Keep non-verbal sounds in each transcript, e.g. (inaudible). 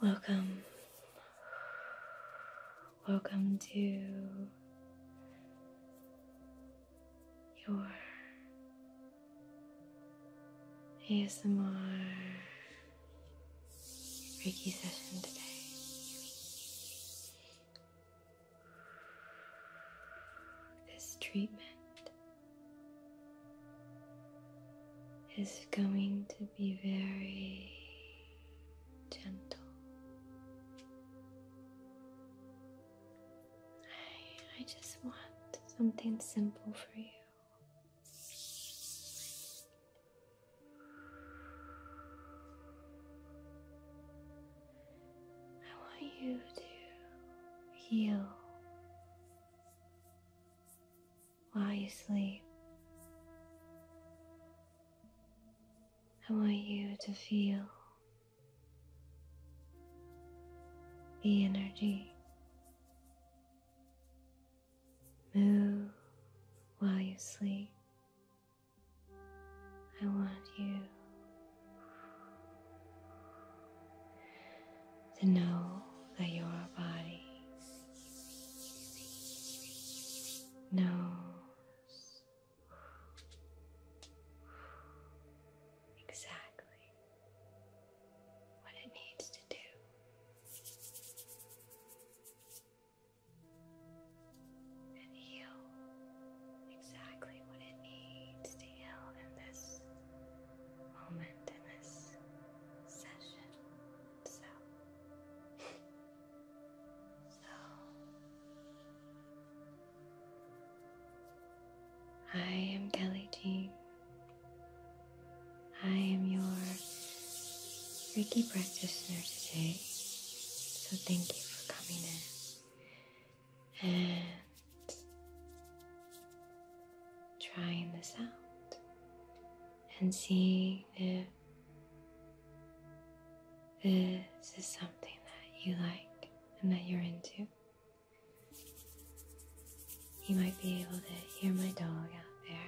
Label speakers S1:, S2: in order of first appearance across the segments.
S1: Welcome. Welcome to your ASMR Reiki session today. This treatment is going to be very gentle. I, just want something simple for you. I want you to heal while you sleep. I want you to feel the energy move while you sleep. I want you to know that your body knows exactly what it needs to do and heal exactly what it needs to heal in this moment, in this session. So, so I am Kelly Dean. I am your Reiki practitioner today, so thank you for coming in and trying this out and seeing if this is something that you like and that you're into. You might be able to hear my dog out there.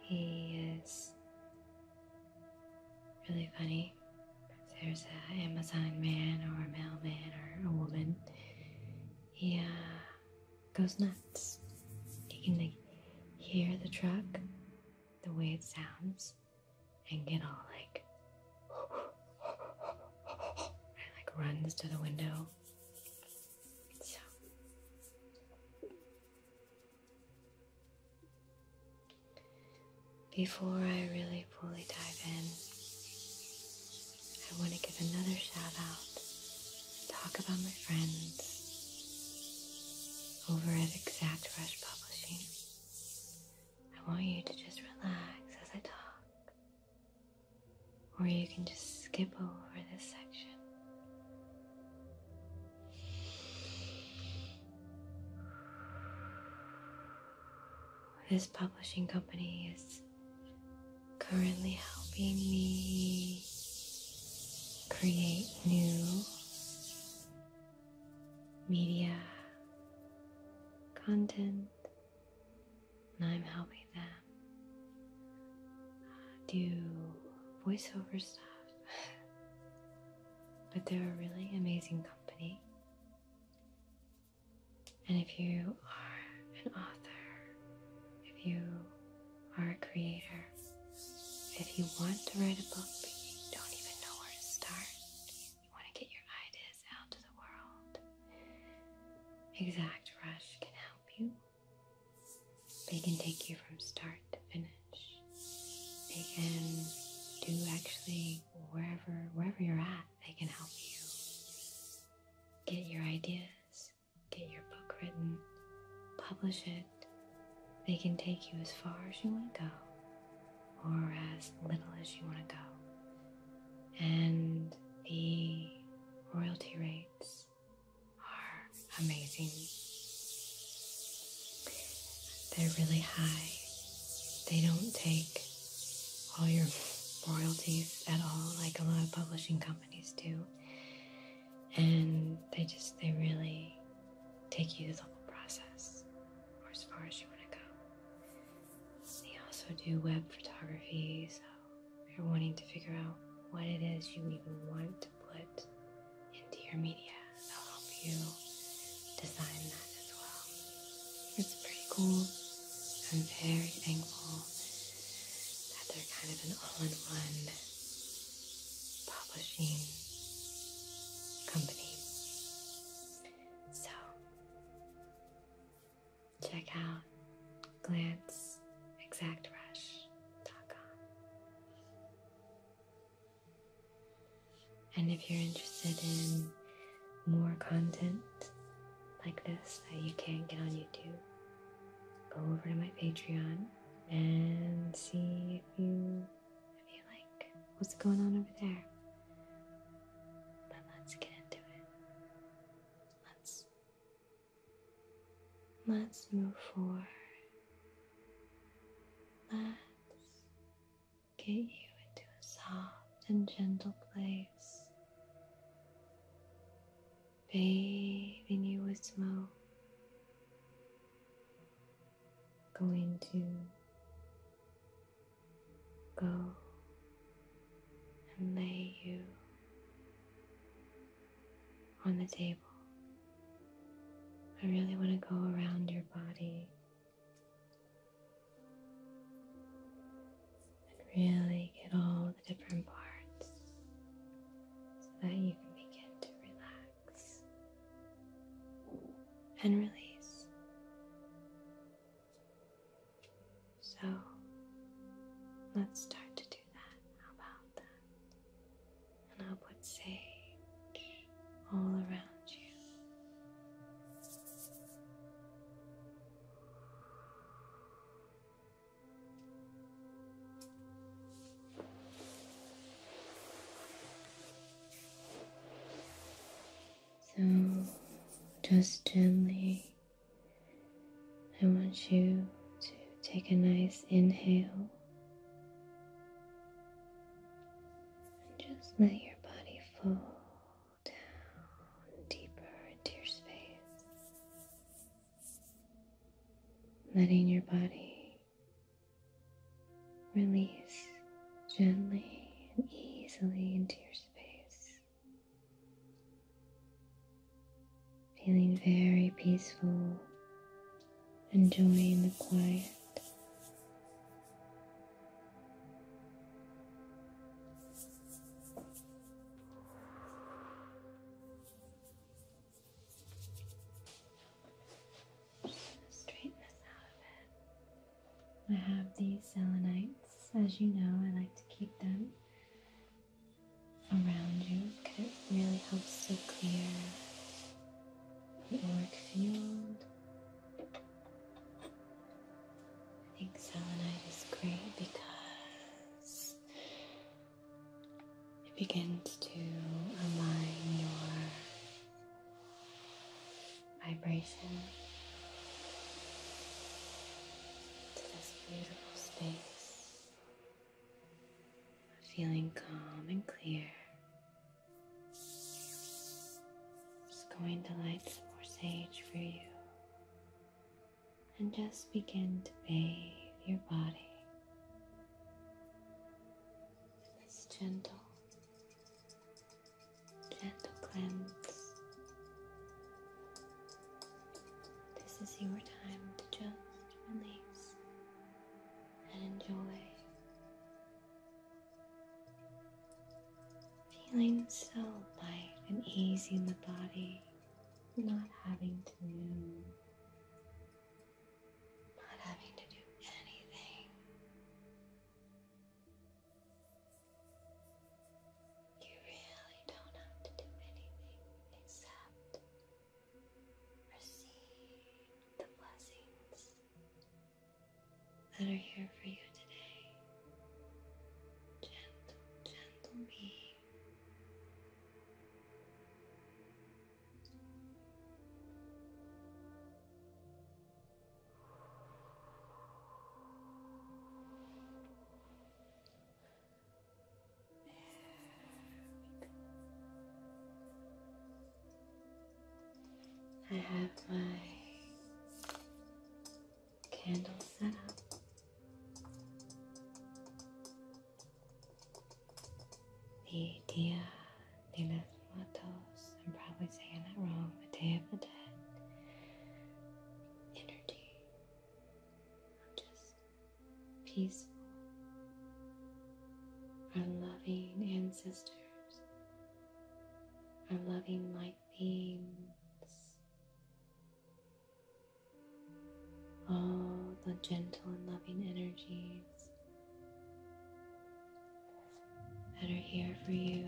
S1: He is really funny. there's an Amazon man or a mailman or a woman, he uh, goes nuts. He can like hear the truck, the way it sounds, and get all like (laughs) like runs to the window. Before I really fully dive in, I want to give another shout out, talk about my friends over at Exact Rush Publishing. I want you to just relax as I talk, or you can just skip over this section this publishing company is currently helping me create new media content, and I'm helping them do voiceover stuff, but they're a really amazing company. And if you are an author, if you are a creator, if you want to write a book but you don't even know where to start, you want to get your ideas out to the world, Exact Rush can help you. They can take you from start to finish. They can do actually wherever wherever you're at, they can help you. Get your ideas, get your book written, publish it. They can take you as far as you want to go or as little as you want to go. And the royalty rates are amazing. They're really high. They don't take all your royalties at all, like a lot of publishing companies do. And they just, they really take you through the whole process or as far as you want to go. They also do web photography, so if you're wanting to figure out what it is you even want put into your media. They'll help you design that as well. It's pretty cool. I'm very thankful that they're kind of an all-in-one publishing company. So check out glance exactbrush.com. And if you're interested in more content like this that you can't get on YouTube, go over to my Patreon and see if you if you like what's going on over there. But let's get into it. Let's Let's move forward. Let's get you into a soft and gentle place, bathing you with smoke. Going to go and lay you on the table. I really want to go around your body and really get all the different parts so that you can begin to relax and release. So let's start to do how about that? And I'll put sage all around you. So, just gently, I want you to take a nice inhale and just let your body fall down deeper into your space, letting your body release gently and easily into your space feeling very peaceful, enjoying the quiet. I have these selenites, as you know, I like to keep them around you because it really helps to clear the auric field. I think selenite is great because it begins to align your vibration to this beautiful space feeling calm and clear. Just going to light some more sage for you and just begin to bathe your body. This gentle, gentle cleanse. This is your time to just release and enjoy feeling so light and easy in the body, not having to move, not having to do anything.
S2: You really
S1: don't have to do anything except.
S2: Receive the blessings
S1: that are here for you today.
S2: Gentle, gentle me. I have my candle set up.
S1: The Dia de los Muertos, I'm probably saying that wrong, the Day of the Dead energy. just peaceful. Our loving ancestors, our loving light beings, all the gentle and loving energies that are here for you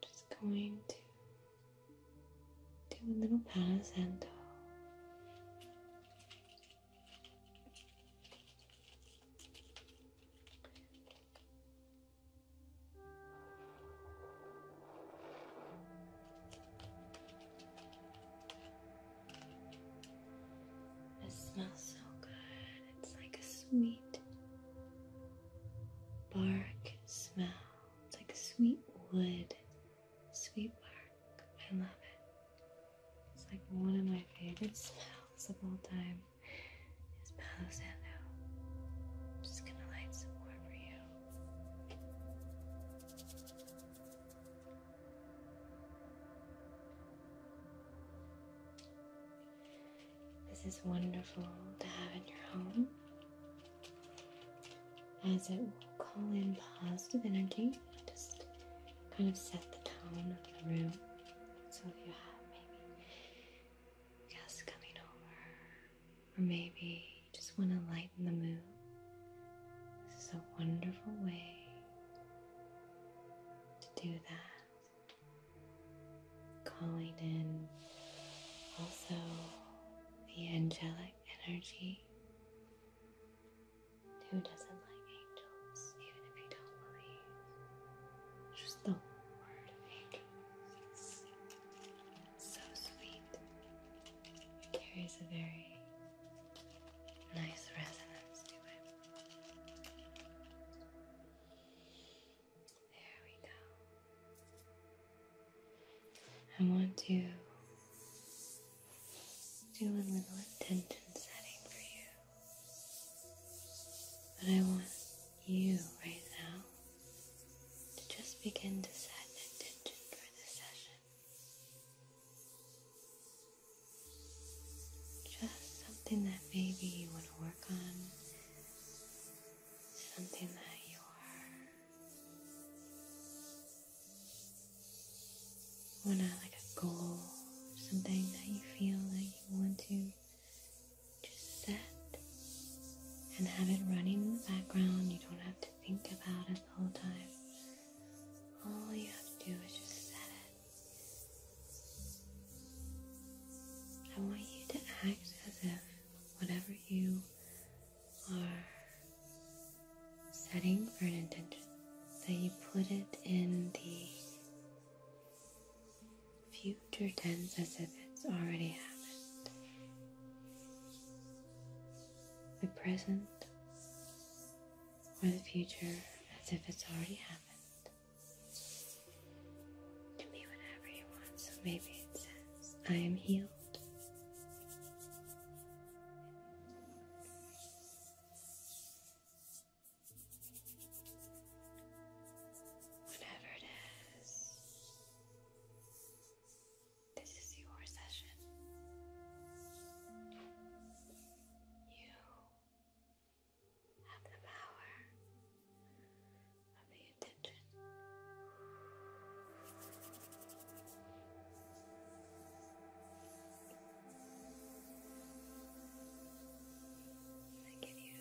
S1: just going to do a little palisando. It smells so good. It's like a sweet bark smell. It's like sweet wood, sweet bark. I love it. It's like one of my favorite smells of all time is Palo Santo. I'm just gonna light some more for you. This is wonderful to have in your home as it will call in positive energy, just kind of set the tone of the room. So if you have maybe guests coming over, or maybe you just want to lighten the mood, this is a wonderful way to do that calling in also the angelic energy. Who doesn't like angels, even if you don't believe? Just the word angels. So sweet. It carries a very nice resonance to it. There we go. I want to do a little attention setting for you. But I want you right now to just begin to set an intention for the session. Just something that maybe you want to work on something that you are. Wanna like a goal, something that you feel that you want to just set and have it running in the background. You don't have to think about it the whole time. All you have to do is just set it. I want you to act as if whatever you are setting for an intention. So you put it in the future tense as if it's already happened. The present or the future as if it's already happened. It can whatever you want. So maybe it says, I am healed you.
S2: Whatever it is, this is your session.
S1: You have the power over your tension.
S2: I give you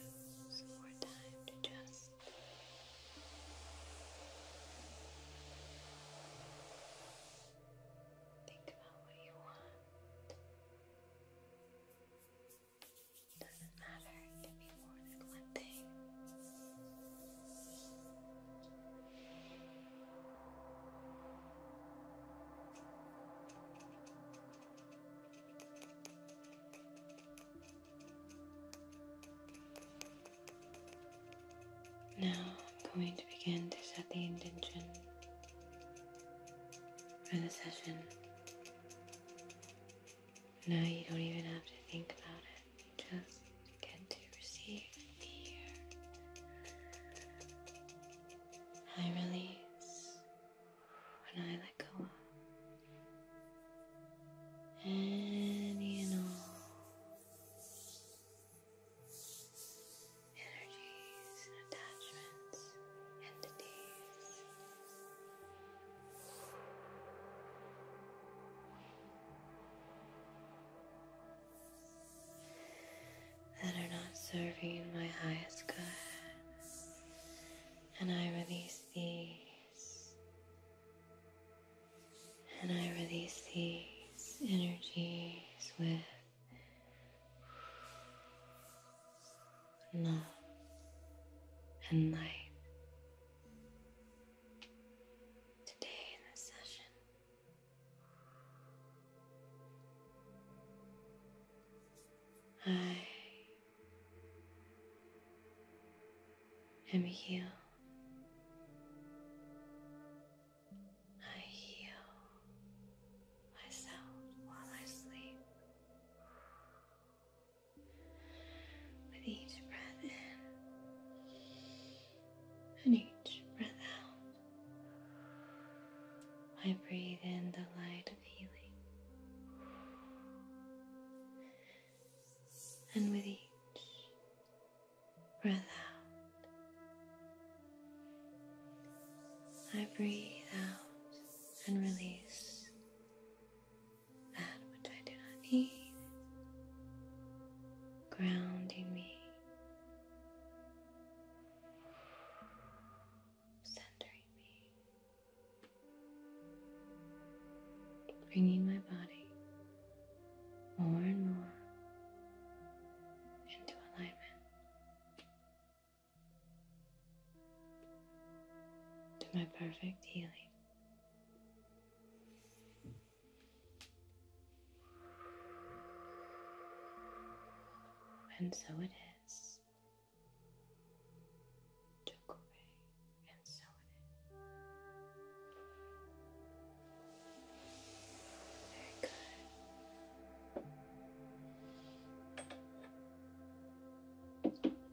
S2: some more time to just think about what you want. Doesn't matter, it can be more than one thing.
S1: Now I'm going to begin to set the intention for the session. Now you don't even have to think about it, just get to receive the air. I release when I let go of any and all energies, attachments, entities that are not serving my highest good. And I release these. And I release these energies with love and light. Today in this session, I am healed. I heal myself while I sleep. With each breath in and each breath out, I breathe in the light of healing. And with each breath out, I breathe out and release that which I do not need, grounding me, centering me, bringing my body more and more into alignment. To my perfect healing. And so it is. Took away, and so it is. Very good.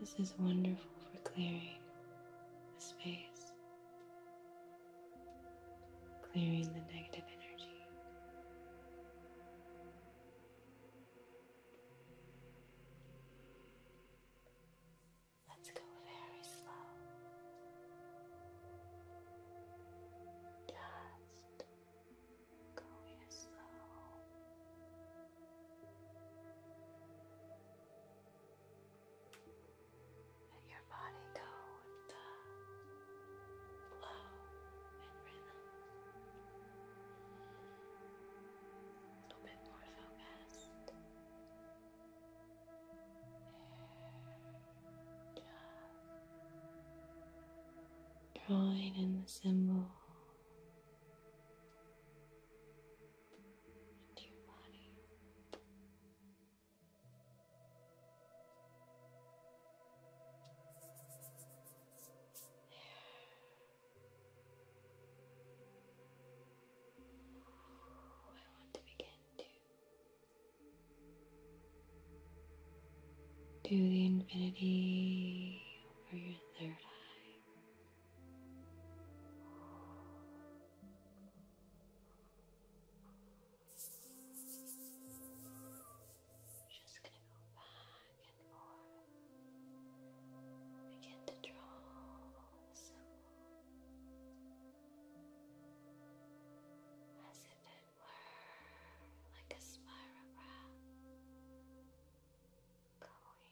S1: This is wonderful for clearing the space, clearing the negative energy.
S2: Let's go very slow. Just going as let
S1: your body go with the flow and rhythm. A little bit more focused. drawing in the symbol and your body. I want to
S2: begin to do the infinity over your third eye. Just going to go back and forth. Begin to draw the symbol
S1: as if it were
S2: like a spiral going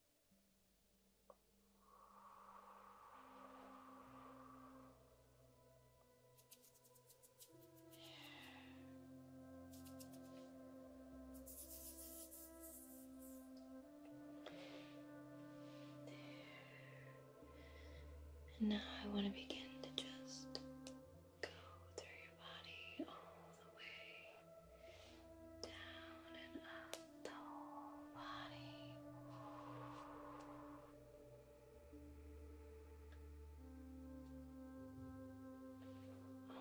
S1: And now I want to begin to just go through your body all the
S2: way down and up whole body.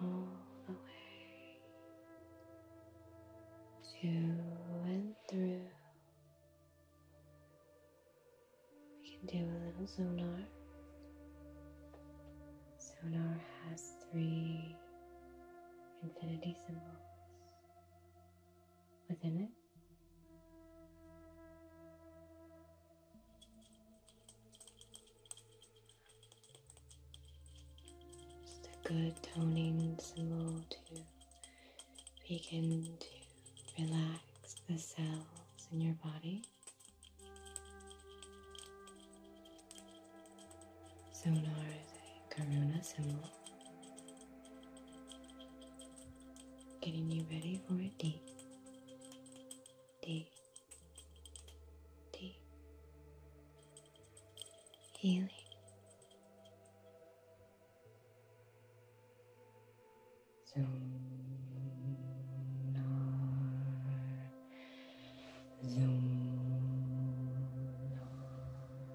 S2: All the way to and through.
S1: We can do a little sonar. Sonar has three infinity symbols within it. Just a good toning symbol to begin to relax the cells in your body. Sonar is Karuna symbol, getting you ready for a deep, deep, deep healing.
S2: So Zoom,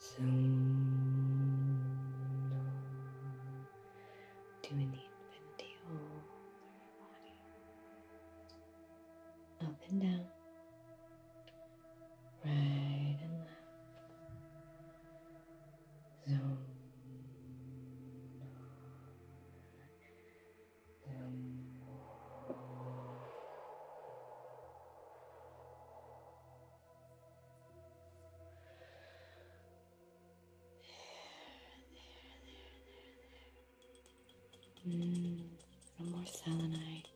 S2: So, do an infinity all through your body, up and down, right and left. Zoom. Zoom. There, there, there, there. Mm, no more selenite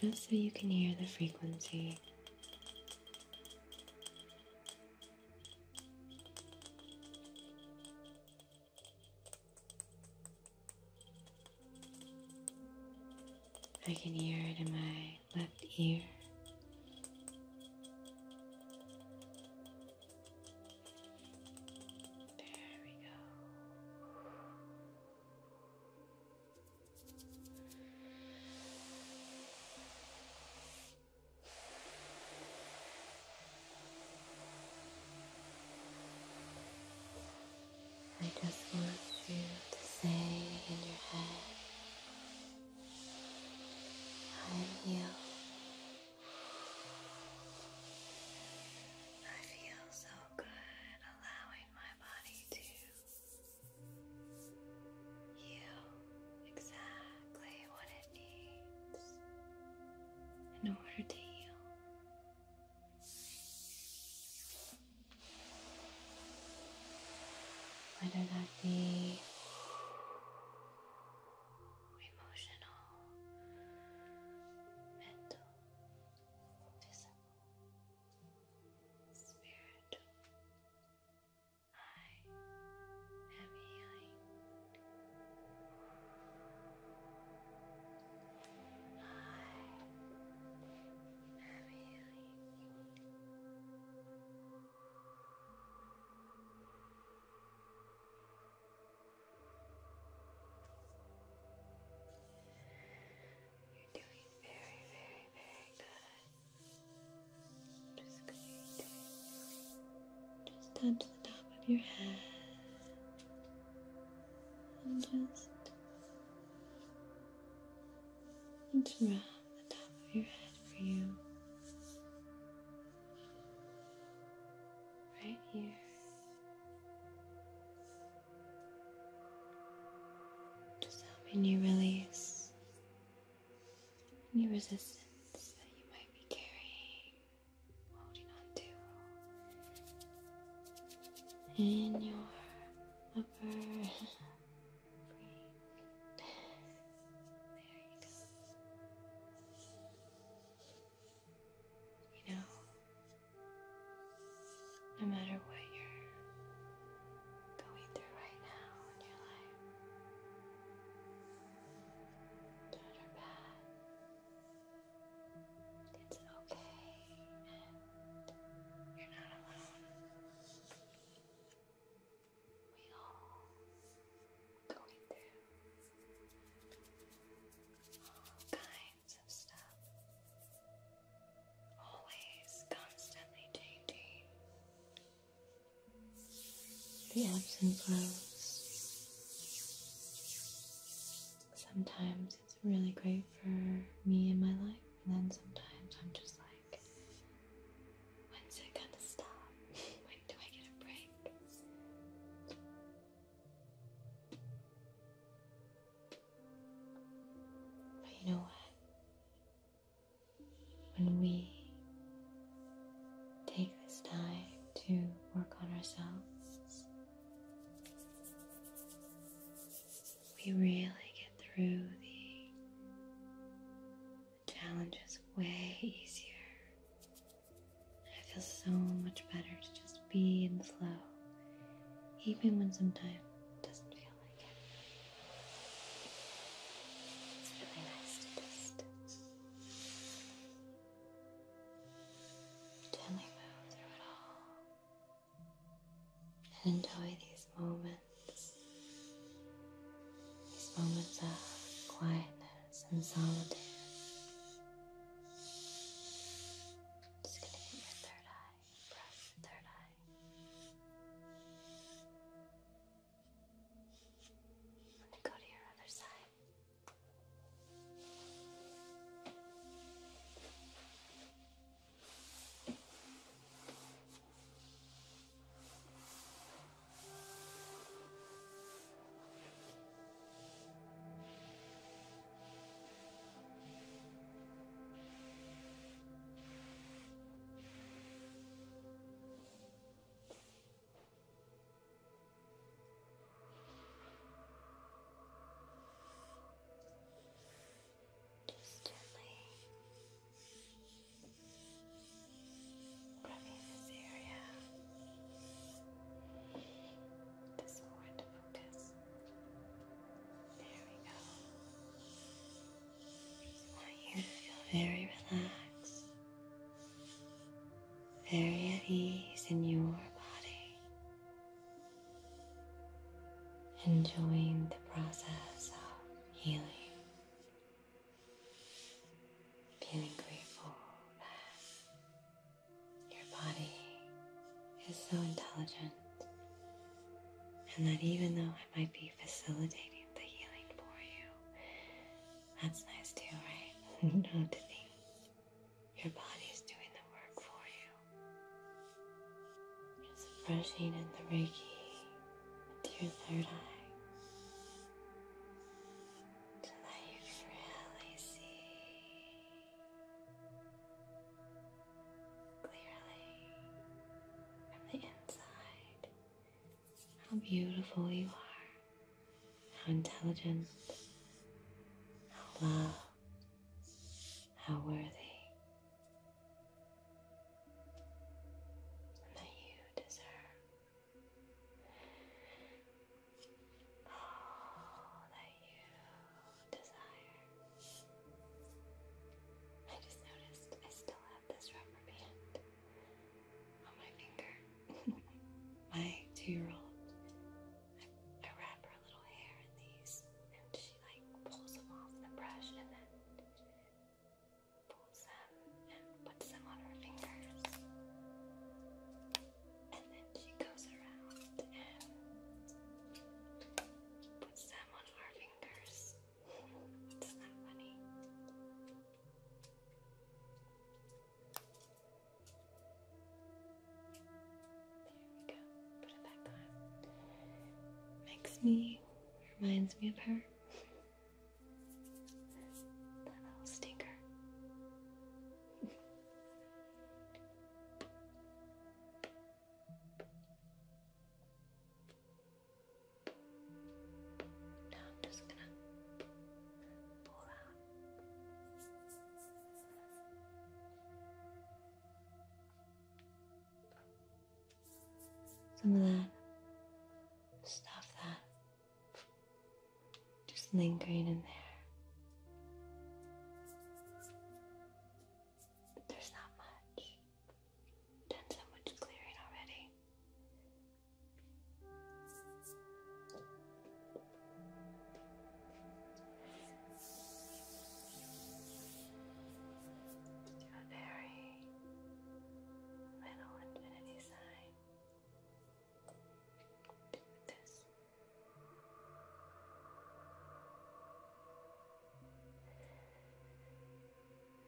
S1: just so you can hear the frequency. I can hear it in my left ear. There we go.
S2: I just want you to say in your head,
S1: I am I feel so good, allowing my body to heal exactly what it needs in order to heal.
S2: Whether that be emotional, mental, visible, spiritual. I am healing. I am healing.
S1: You're doing very, very, very good. Just going to just touch the top of your head and just and rub the top of your head for you. Right here. Just helping you release any resistance that you might be carrying, holding on to in your upper brain. There you go. You know, no matter what you're going through right now in your life,
S2: good or bad, it's okay and you're not alone. We all
S1: going through all Always constantly changing. The ebbs and flows. Sometimes it's really great for me in my life, and then sometimes I'm just like, when's it gonna stop? (laughs) when do I get a break? But you know what? When we take this time to work on ourselves, we really get through the, the challenges way easier. And I feel so much better to just be and flow, even when sometimes it doesn't feel like it. It's really nice to just
S2: gently move through it all and
S1: enjoy these moments, these moments of quietness and solitude. Just gonna hit your third eye, brush your third eye. I'm gonna go to your other side. Good. Just gently rubbing this area, this more to focus. There we go. I want you to feel very relaxed, very at ease in your body, enjoying the process of healing. Feeling grateful that your body is so intelligent, and that even though I might be facilitating the healing for you, that's nice too, right? (laughs) you don't have to think. Your body's doing the work for you. It's brushing in the Reiki to your third eye. So that you can really see clearly from the inside how beautiful you are, how intelligent, how loved, how worthy, and that you deserve
S2: all oh,
S1: that you I just noticed I still have this rubber band on my finger. (laughs) my two-year-old, I, wrap her little hair in these,
S2: and she like pulls them off the brush and then pulls them and puts them on her fingers she goes around and puts them on our
S1: fingers. Isn't funny? There we go. Put it back on. Makes me, reminds me of her. (laughs) That little stinker. (laughs)
S2: Now I'm just gonna pour out. Some of that
S1: stuff that just lingering in there. There's not much. Done so much clearing already. very
S2: little infinity sign. this.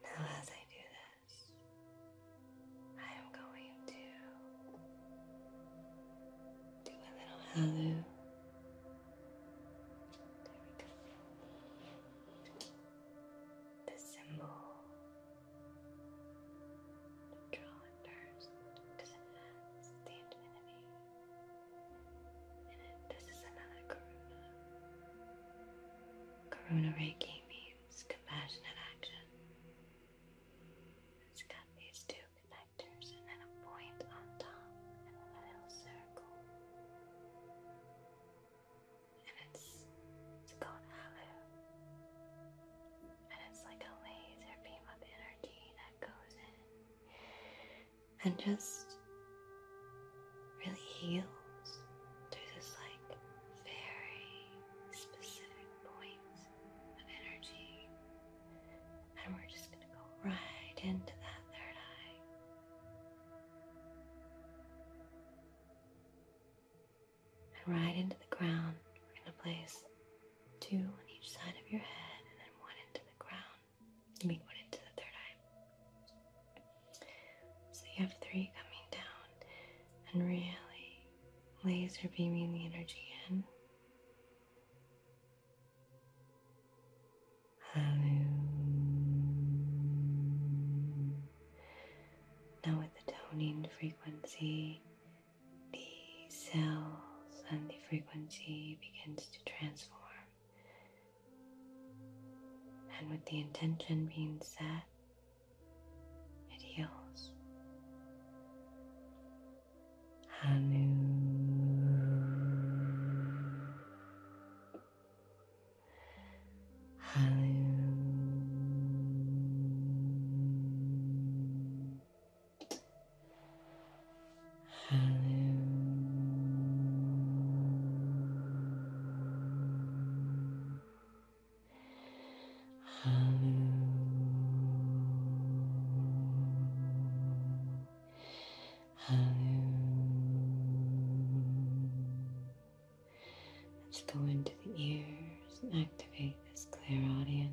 S2: Now, as I do this, I am going to do a little halo. There we go. The symbol. Draw first because it has the infinity. And this is another karuna. Karuna
S1: Reiki means compassionate action. It's got these two connectors and then a point on top and a little circle. And it's it's called Alu. And it's like a laser beam of energy that goes in and just really heals through this like very specific point of energy. And we're just going to go right into that third eye. And right into the ground, we're going to place two on each side of your head and then one into the ground make one into the third eye. So you have three coming down and really laser beaming the energy in. Now with the toning frequency, the cells and the frequency begins to transform and with the intention being set, it heals.
S2: Hallelujah. Hallelujah. Hello. Hello. Hello.
S1: Let's go into the ears and activate this clear audience.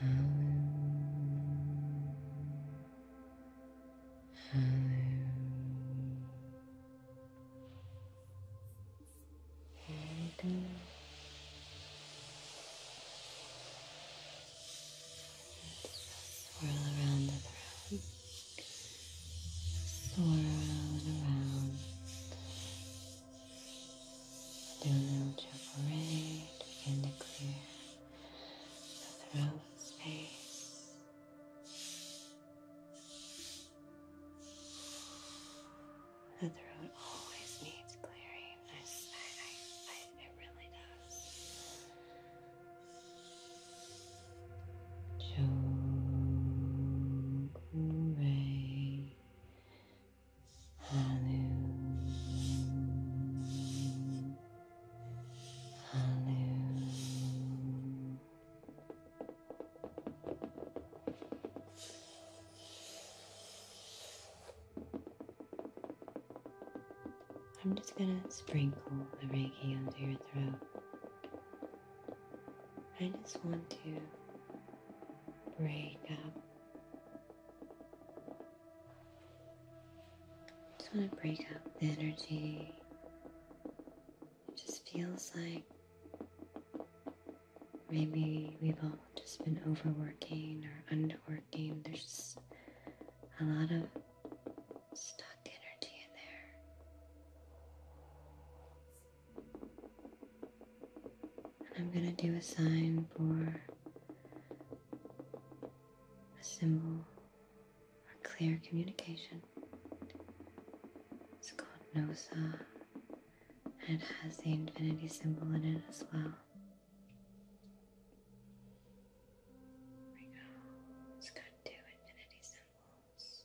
S2: Hello. Hello. And just swirl around the throne. Swirl around. Do a little chakra ready, begin to clear through space.
S1: The throat always needs clearing. it really does.
S2: Chokure. Hallelujah. Hallelujah.
S1: I'm just going to sprinkle the Reiki under your throat. I just want to break up just want to break up the energy. It just feels like maybe we've all just been overworking or underworking. There's just a lot of stuck energy in there.
S2: And I'm going to do a sign for
S1: a symbol for clear communication. It's called Nosa, and it has the infinity symbol in
S2: it as well. There we go. It's got two infinity symbols.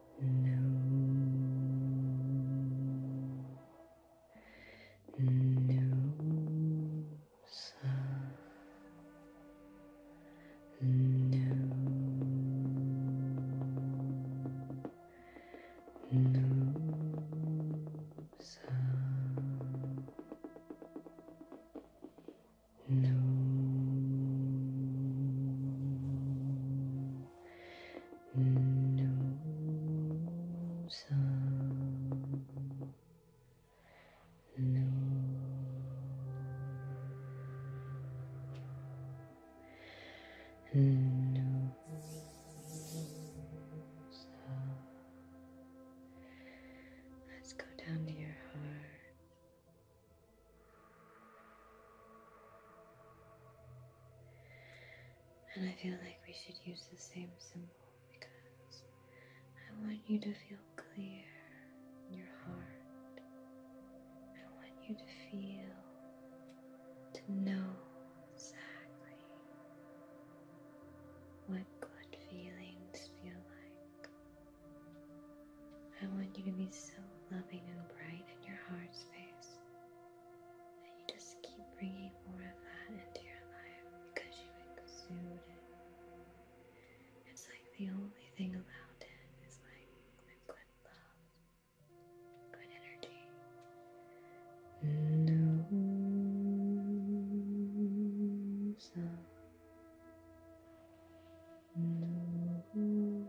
S2: no, no sound, no, no sound, no no no no
S1: Let's go down to your heart. And I feel like we should use the same symbol because I want you to feel clear in your heart. I want you to feel, to know exactly what good feelings feel like. I want you to be so loving and bright in your heart space and you just keep bringing more of that into your life because you exude it. It's like the only thing allowed in is like good love,
S2: good energy. No No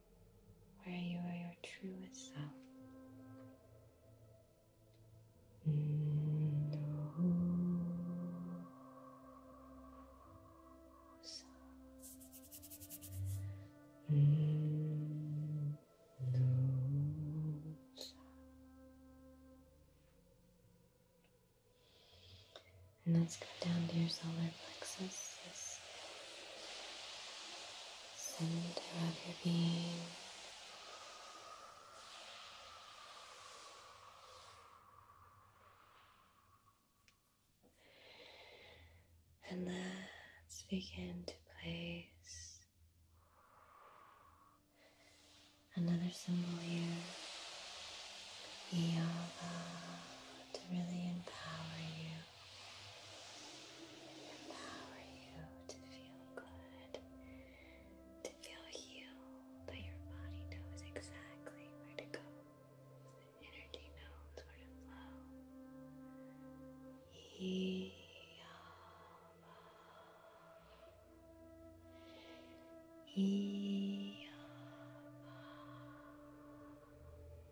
S1: where you are your truest self. And let's go down to your solar plexus, this
S2: center of your being.
S1: And let's begin to place another symbol here,
S2: yoga, to really empower you Allow you
S1: to feel good, to feel healed, that your body knows exactly where to go.
S2: The energy knows where to flow.
S1: He Yama.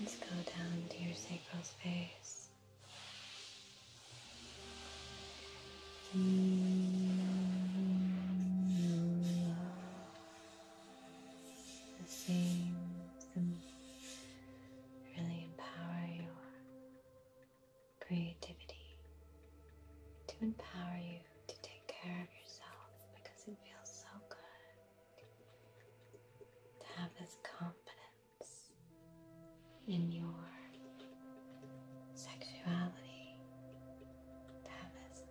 S1: Let's go down to your sacral space.
S2: The same,
S1: really empower your creativity, to empower you to take care of yourself because it feels so good to have this confidence in your sexuality, to have this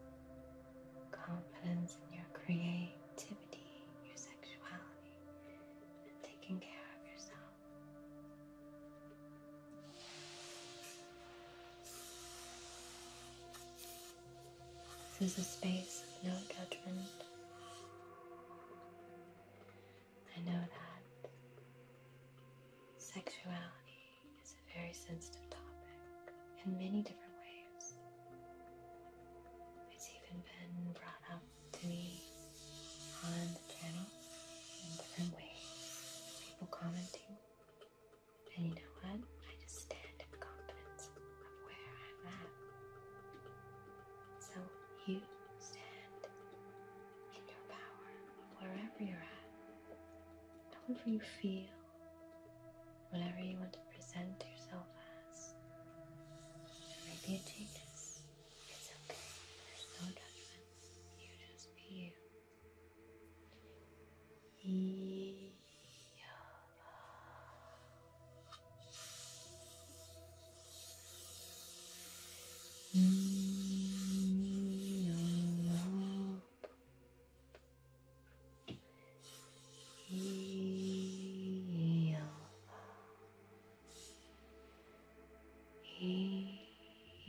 S1: confidence in your creativity, your sexuality taking care of yourself. This is a space of no judgment. I know that sexuality is a very sensitive topic in many different ways. It's even been brought up to me on the channel in different ways. People commenting. And you know what? I just stand in confidence of where I'm at. So you stand in your power of wherever you're at. However you feel, whatever you want to present yourself as past. Maybe it changes. It's okay. There's no judgment. You just be you. E Yoga.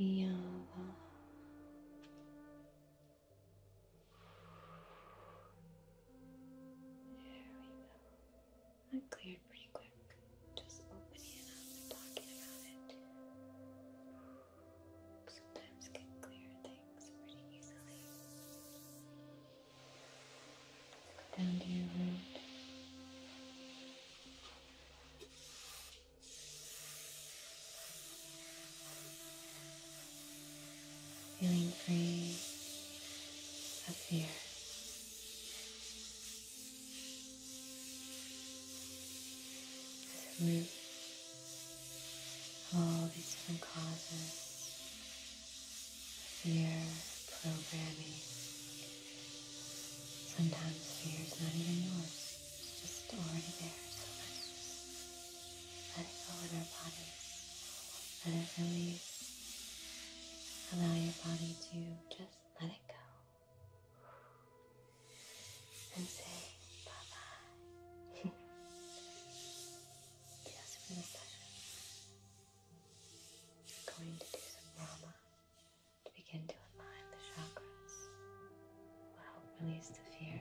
S1: Yava. There we go. That cleared pretty quick. Just opening up and talking about it.
S2: Sometimes can clear things pretty easily down to your root.
S1: Feeling free of fear. This root all these different causes fear programming. Sometimes fear is not even yours, it's just already there. So let it go in our bodies. Let it release. Allow your body to just let it go.
S2: And say bye bye. (laughs) I'm going to do some Rama
S1: to begin to align the chakras. Will help release the fear.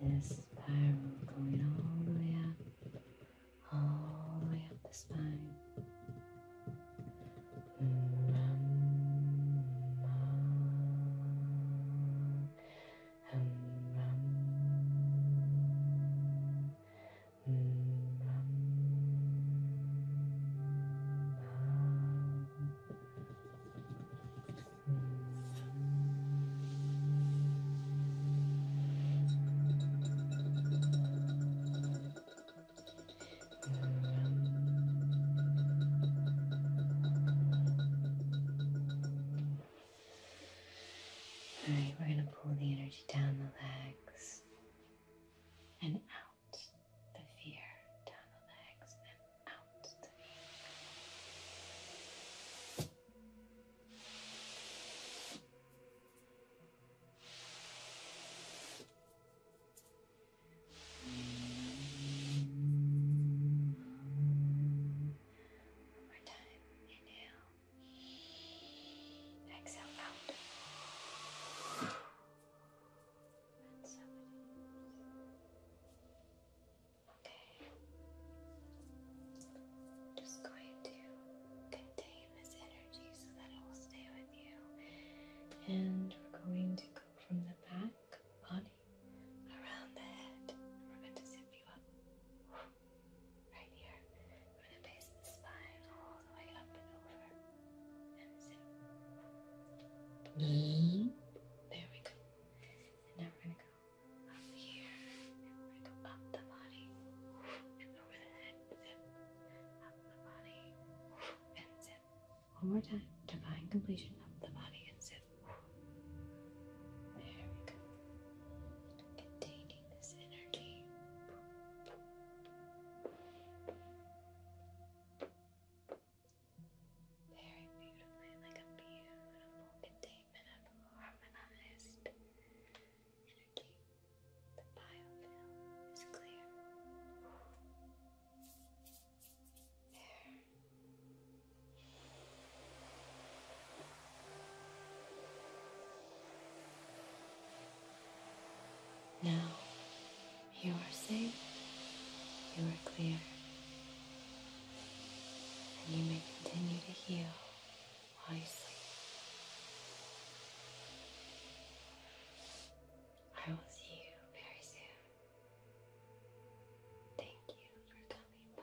S1: This spiral going all the way up, all the way up the spine. Ram, ram,
S2: ram,
S1: all right, we're going to pull the energy down the legs and out the fear down the legs and out to the knee. One more time. Inhale. Exhale out just going to contain this energy so that it will stay with you. And we're going to go from the back body around the head. we're going to zip you up. Right here. We're going to the
S2: spine all the way up and over. Mm-hmm. There we go. And now we're going to go up here. up the body
S1: and over the head. Up the body and zip. One more time. Divine completion. Up the body and zip. There we go. Containing this energy very beautifully, like a beautiful containment of harmonized energy. The biofilm is clear. There.
S2: Now you are safe, you are
S1: clear, and you may continue to heal while you sleep. I will see you very soon. Thank you for coming by.